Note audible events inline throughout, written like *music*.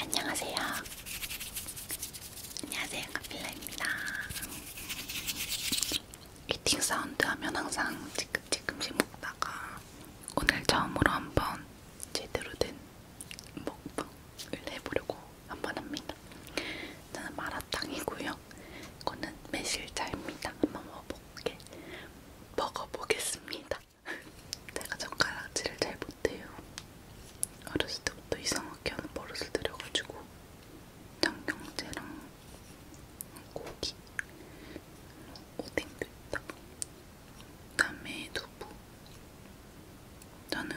안녕하세요. 안녕하세요. 카필라입니다. 이팅 사운드 하면 항상 찌끔찌끔씩 먹다가 오늘 처음으로 한번 제대로 된 먹방을 해보려고 한번 합니다. 저는 마라탕이고요. 이거는 매실차입니다. 한번 먹어볼게. 먹어보겠습니다. 내가 젓가락질을 잘 못해요. 어렸을 때부터 이상하게 하는 버릇을 들여가지고 청경채랑 고기, 오뎅도 있다. 그다음에 두부. 나는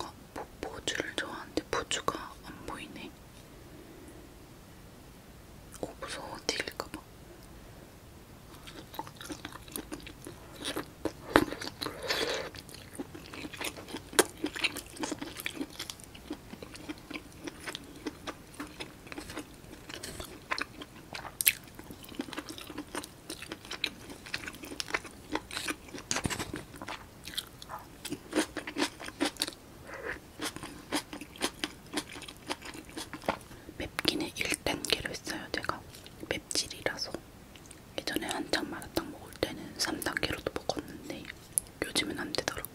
아, 포, 포주를 좋아하는데 포주가 안 보이네. 오 어, 무서워 튀길까봐 맵기는 1단계로 써요 제가 맵질이라서 예전에 한창 마라탕 먹을 때는 3단계로도 먹었는데 요즘은 안 되더라고요.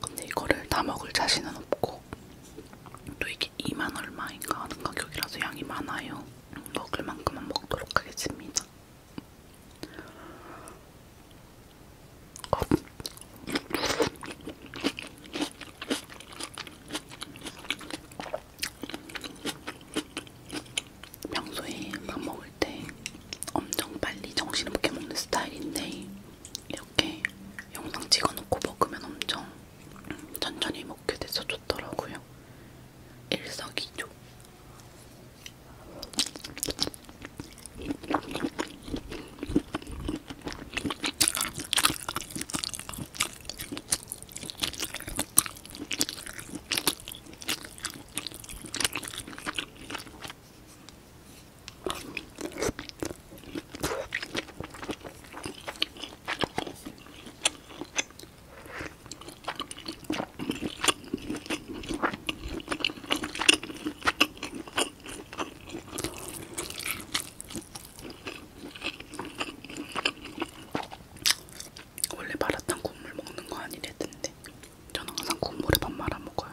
근데 이거를 다 먹을 자신은 없고 또 이게 2만 얼마인가 하는 가격이라서 양이 많아요. 먹을 만큼만 먹도록 하겠습니다. 평소에 밥 먹을 때 엄청 빨리 정신없게 먹는 스타일인데 이렇게 영상 찍어놓고 먹으면 엄청 천천히 먹게 돼서 좋더라고요. 일석이조. 원래 마라탕 국물 먹는 거 아니랬는데 저는 항상 국물에 밥 말아 먹어요.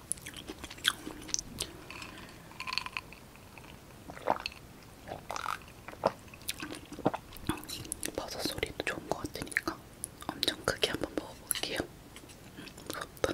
버섯 소리도 좋은 것 같으니까 엄청 크게 한번 먹어볼게요. 무섭다.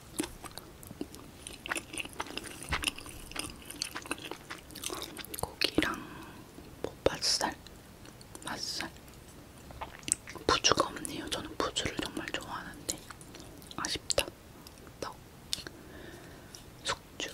고기랑 목밭살, 뭐 맛살 부주가 없네요. 저는 부주를 정말 좋아하는데 아쉽다. 떡, 숙주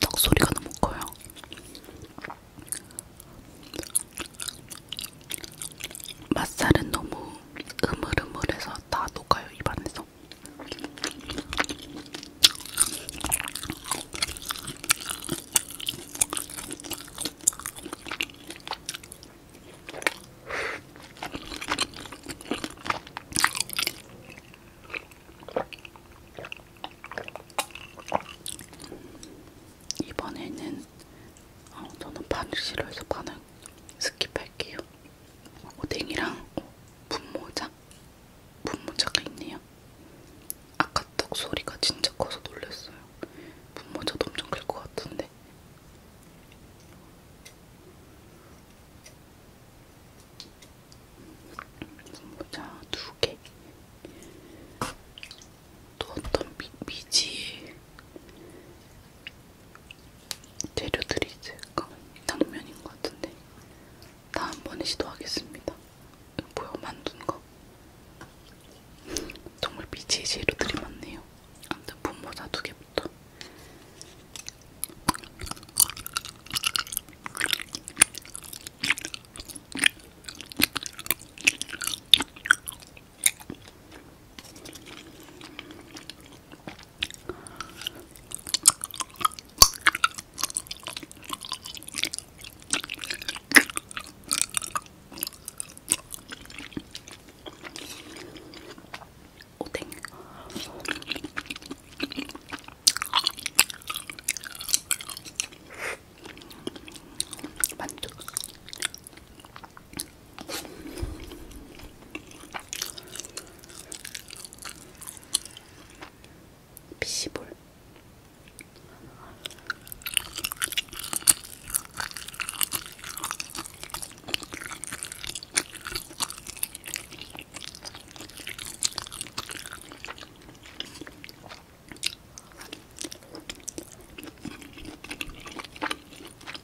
떡 소리가 너무 커요. 맛살은 너무 으물으물해서 다 녹아요 입 안에서. 이번에는 어, 저는 바늘 싫어해서 바늘 스킵할게요. 오뎅이랑 어, 분모자, 분모자가 있네요. 아까 떡 소리가 진짜 커서 놀랐어요. 분모자도 엄청 클 것 같은데. 분모자 두 개. 또 어떤 미, 미지 재료들이 있을까? 당면인 것 같은데 다 한번에 시도하겠습니다. 뭐야 만두인가? *laughs* 정말 미치의 재료들이 많네요. 아무튼 분모자 두 개부터 오뎅 만두 피시볼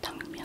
당면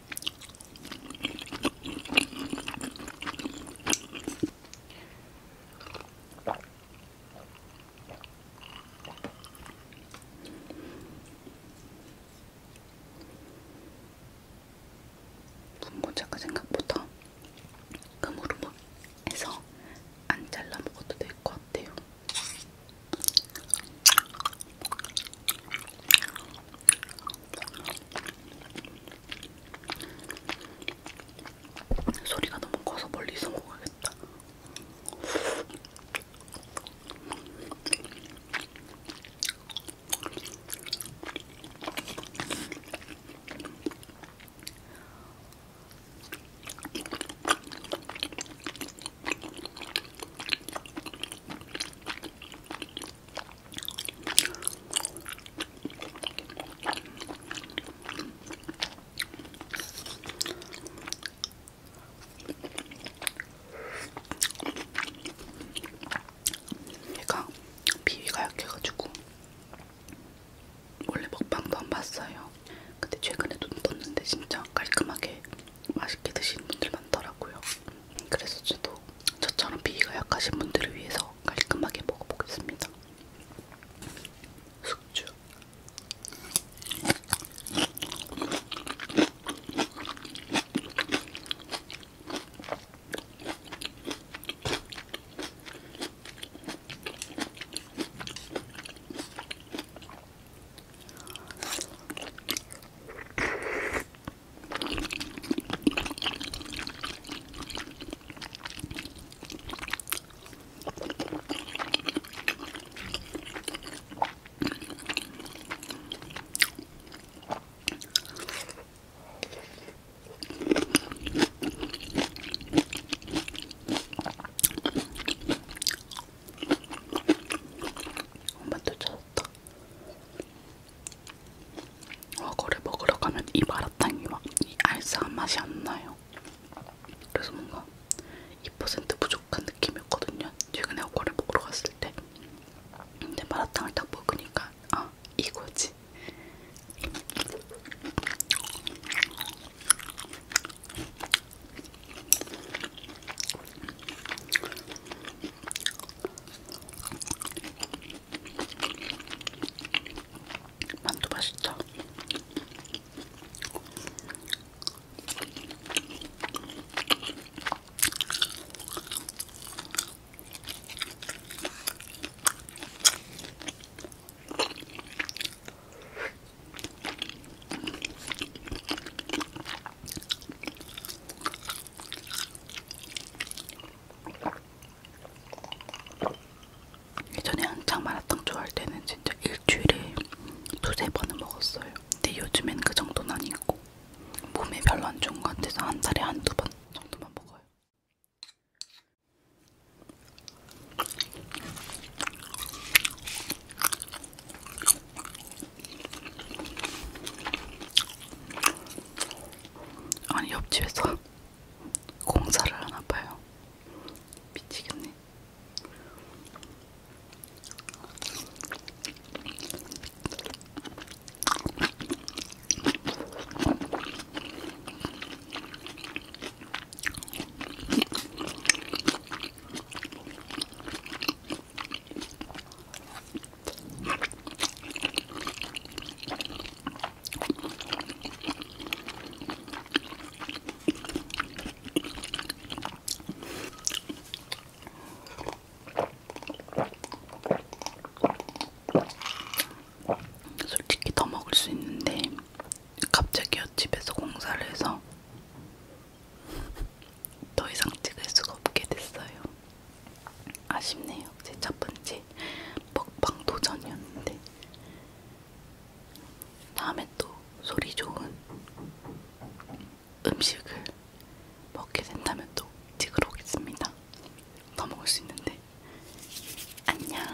군고차가 생각보다 금으로 해서 안 잘라 먹어도 될 것 같아요. 소리가 너무 커서 멀리서 먹어야겠다. 얘가 비위가 약해가지고 원래 먹방도 안 봤어요. 근데 최근에 눈 떴는데 진짜 깔끔하게 맛있게 드시는 분들 많더라고요. 그래서 저도 저처럼 비위가 약하신 분들을 위해서 깔끔하게 먹어보겠습니다. 숙주. 엄마 또 찾았어. 맛있다. 과거를 아, 먹으러 가면 이 마라탕이 막 이 알싸한 맛이 안 나요. 그래서 뭔가 2% 부족한 느낌이었거든요. 최근에 과거를 먹으러 갔을 때. 근데 마라탕을 딱 먹으니까 아 이거지. 만두 맛있다. 예전에 한창 마라탕 좋아할 때는 진짜 일주일에 두세 번은 먹었어요. 근데 요즘엔 그 정도는 아니고 몸에 별로 안 좋은 것 같아서 한 달에 한두 번 정도만 먹어요. 아니 옆집에서 공사를 하나봐요. 미치겠네. 솔직히 더 먹을 수 있는데 갑자기 옆집에서 공사를 해서 더 이상 찍을 수가 없게 됐어요. 아쉽네요. 제 첫 번째 먹방 도전이었는데 다음에 또 소리 좋은 음식을 먹게 된다면 또 찍으러 오겠습니다. 더 먹을 수 있는데 안녕.